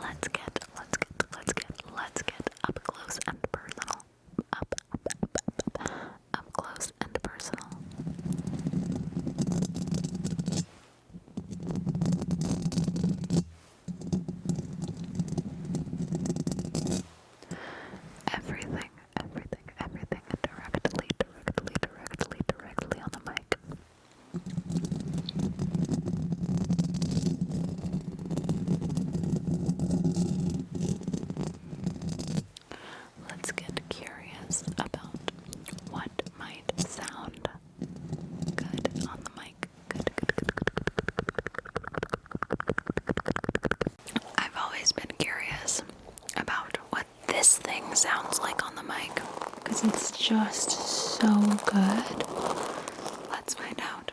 Let's get, let's get, let's get, let's get up close and personal. Up, up, up, up, up, close and personal. Everything, everything, everything directly, directly, directly, directly on the mic. Let's get curious about what might sound good on the mic. I've always been curious about what this thing sounds like on the mic because it's just so good. Let's find out.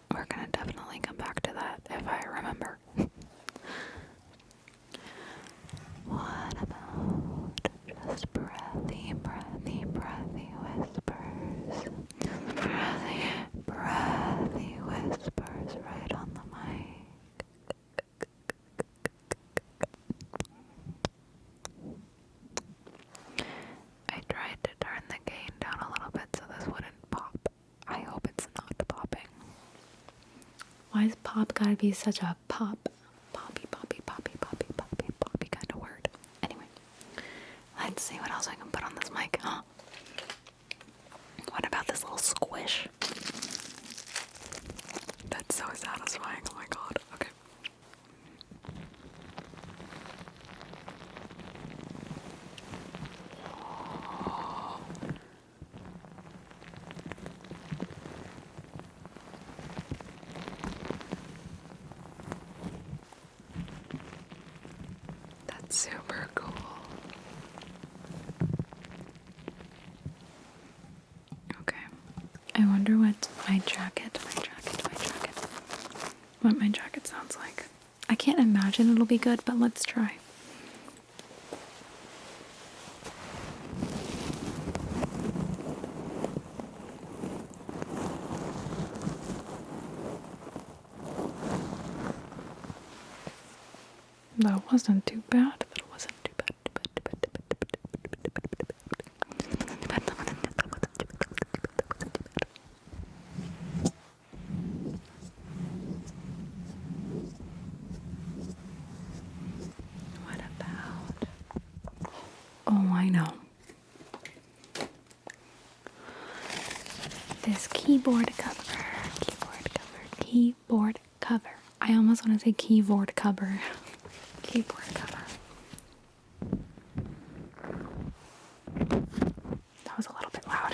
we're gonna definitely come back to that if I remember. what about just breathy, breathy, breathy whispers? Breathy, breathy whispers right on the mic. I tried to turn the gain down a little bit so this wouldn't pop. I hope it's not popping. Why is pop gotta be such a pop? Poppy, poppy, poppy, poppy, poppy, poppy Gotta word. Anyway, let's see what else I can put on this mic. Huh? What about this little squish? That's so satisfying. Oh my god. Okay. That's super cool. Okay. I wonder what my jacket, my jacket, my jacket, what my jacket sounds like. I can't imagine it'll be good, but let's try. That wasn't too bad. That wasn't too bad. What about? Oh, I know. This keyboard cover, keyboard cover, keyboard cover. I almost want to say keyboard cover. keyboard cover. That was a little bit loud.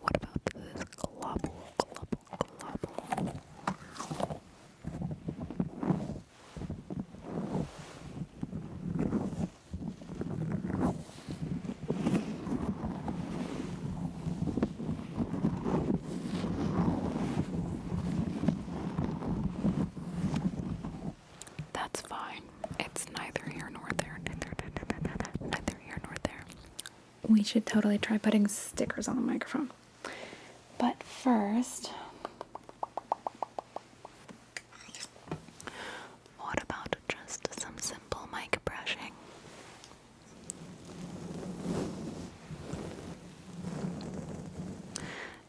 what about this globble, globble, globble? That's fine. It's neither here nor there. neither here nor there we should totally try putting stickers on the microphone. But first, what about just some simple mic brushing?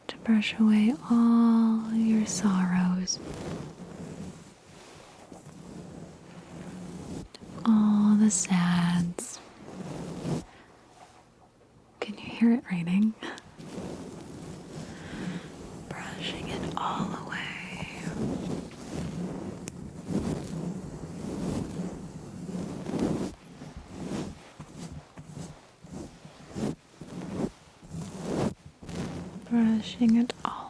To brush away all your sorrows. All the sads. Can you hear it raining? Brushing it all away. Brushing it all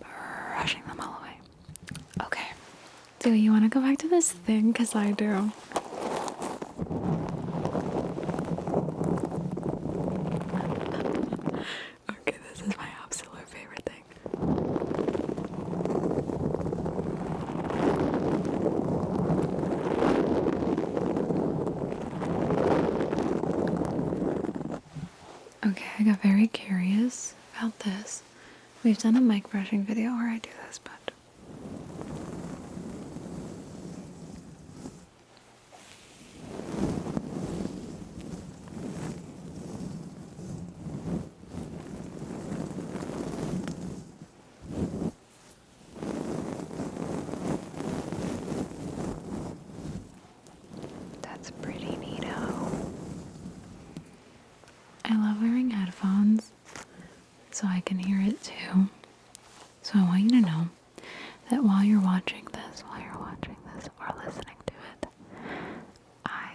brushing them all away. Okay. Do you want to go back to this thing? Because I do. okay, this is my absolute favorite thing. Okay, I got very curious about this. We've done a mic brushing video where I do this, but. That's pretty neato. I love wearing headphones so I can hear it too. So I want you to know that while you're watching this, while you're watching this or listening to it, I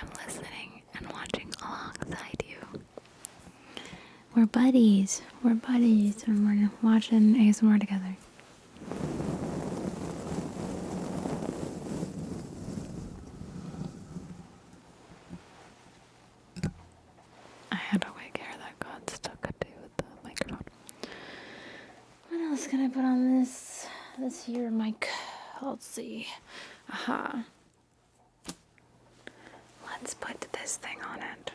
am listening and watching alongside you. We're buddies. We're buddies when we're watching ASMR together. I had a wig hair that got stuck to the microphone. What else can I put on this this here mic? Let's see. Aha. Uh-huh. Let's put this thing on it.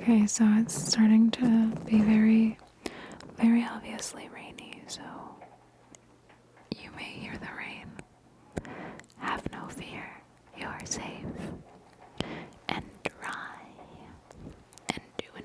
Okay, so it's starting to be very, very obviously rainy, so you may hear the rain. Have no fear, you're safe and dry and doing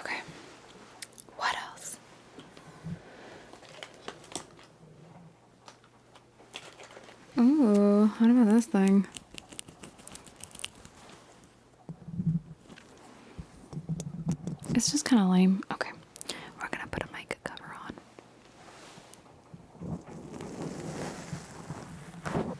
Okay. What else? Ooh, what about this thing? It's just kind of lame. Okay. We're going to put a mic cover on.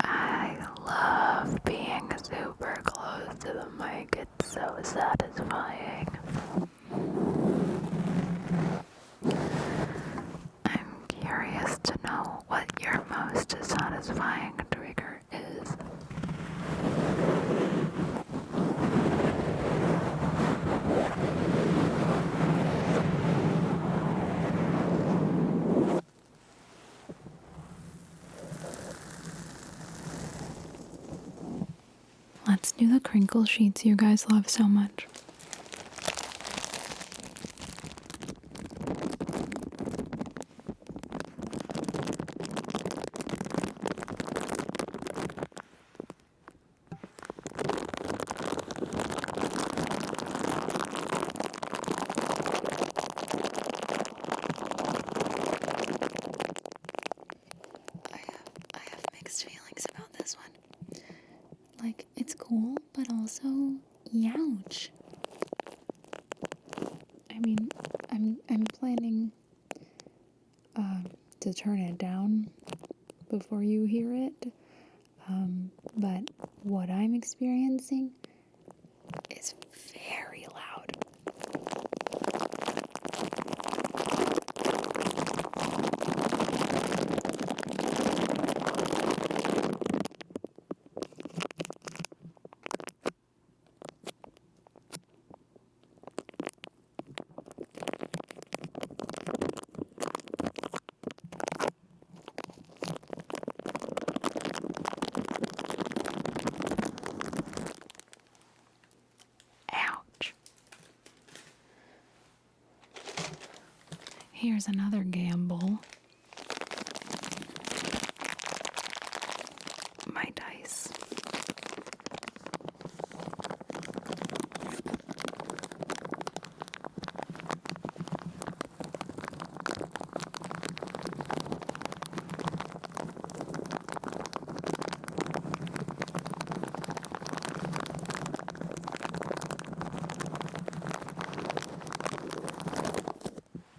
I love being super close to the mic, it's so satisfying. I'm curious to know what your most satisfying trigger is Let's do the crinkle sheets you guys love so much. I have I have mixed feelings about this one. Like it's cool, but also youch. I mean, I'm I'm planning um, to turn it down before you hear it. Um, but what I'm experiencing is very loud. Ouch. Here's another gamble my dice.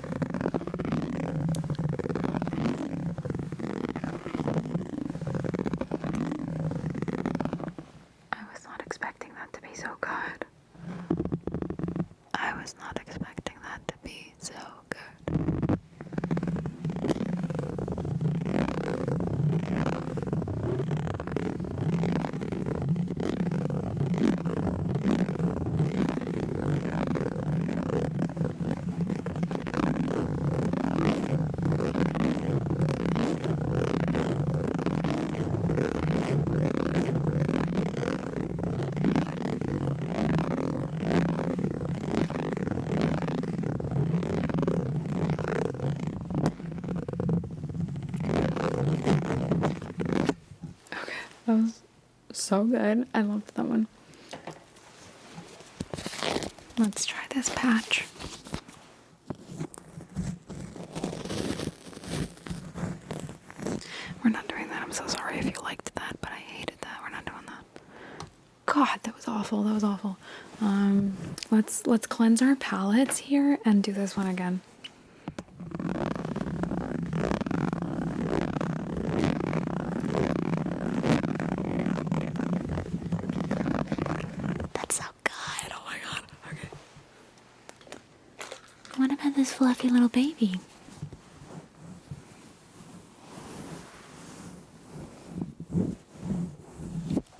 I was not expecting that to be so good. I was not expecting that to be so good. Okay, that was so good. I loved that one. Let's try this patch. We're not doing that. I'm so sorry if you liked that, but I hated that. We're not doing that. God, that was awful. That was awful. Um, let's let's cleanse our palettes here and do this one again. That's so good. Oh my god. Okay. What about this fluffy little baby?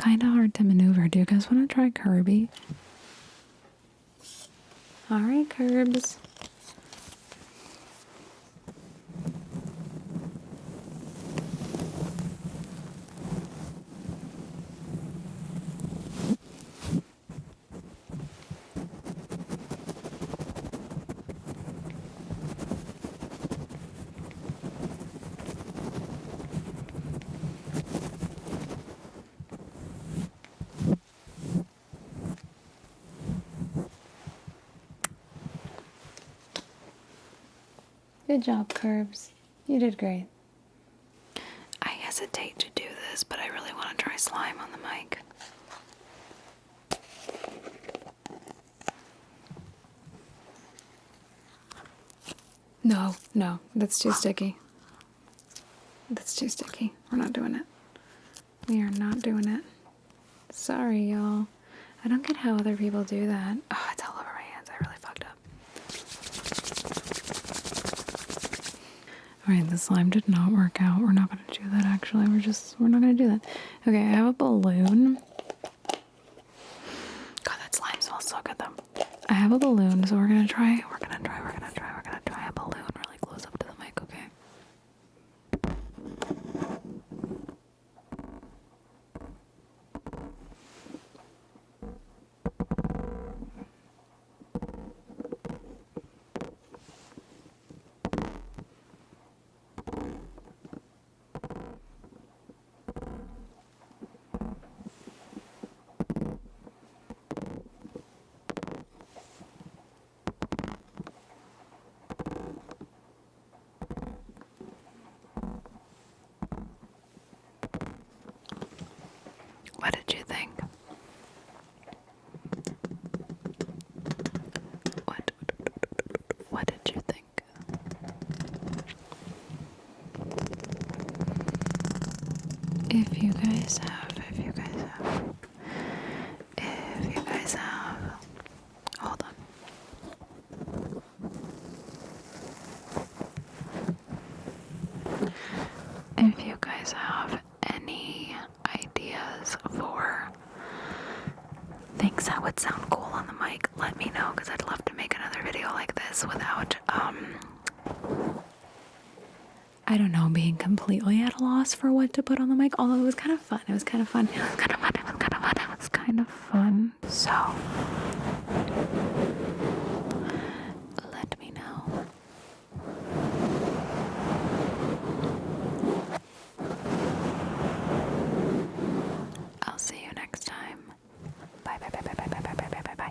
Kinda hard to maneuver. Do you guys want to try Kirby? All right, curbs. Good job, Curbs. You did great. I hesitate to do this, but I really want to try slime on the mic. No, no, that's too sticky. That's too sticky. We're not doing it. We are not doing it. Sorry, y'all. I don't get how other people do that. Oh, it's all over my hands. I really fucked up. Alright, the slime did not work out. We're not gonna do that actually. We're just, we're not gonna do that. Okay, I have a balloon. God, that slime smells so good though. I have a balloon, so we're gonna try, we're gonna try, we're gonna try, we're gonna try a balloon really close up to the mic, okay? What did you think? What what did you think? If you guys have, if you guys have, if you guys have, hold on. If you guys have any ideas for things that would sound cool on the mic, let me know because I'd love to make another video like this without um, I don't know, being completely at a loss for what to put on the mic, although it was kind of fun. It was kind of fun. It was kind of fun. It was kind of fun. So, let me know. I'll see you next time. Bye, bye, bye, bye, bye, bye, bye, bye, bye, bye.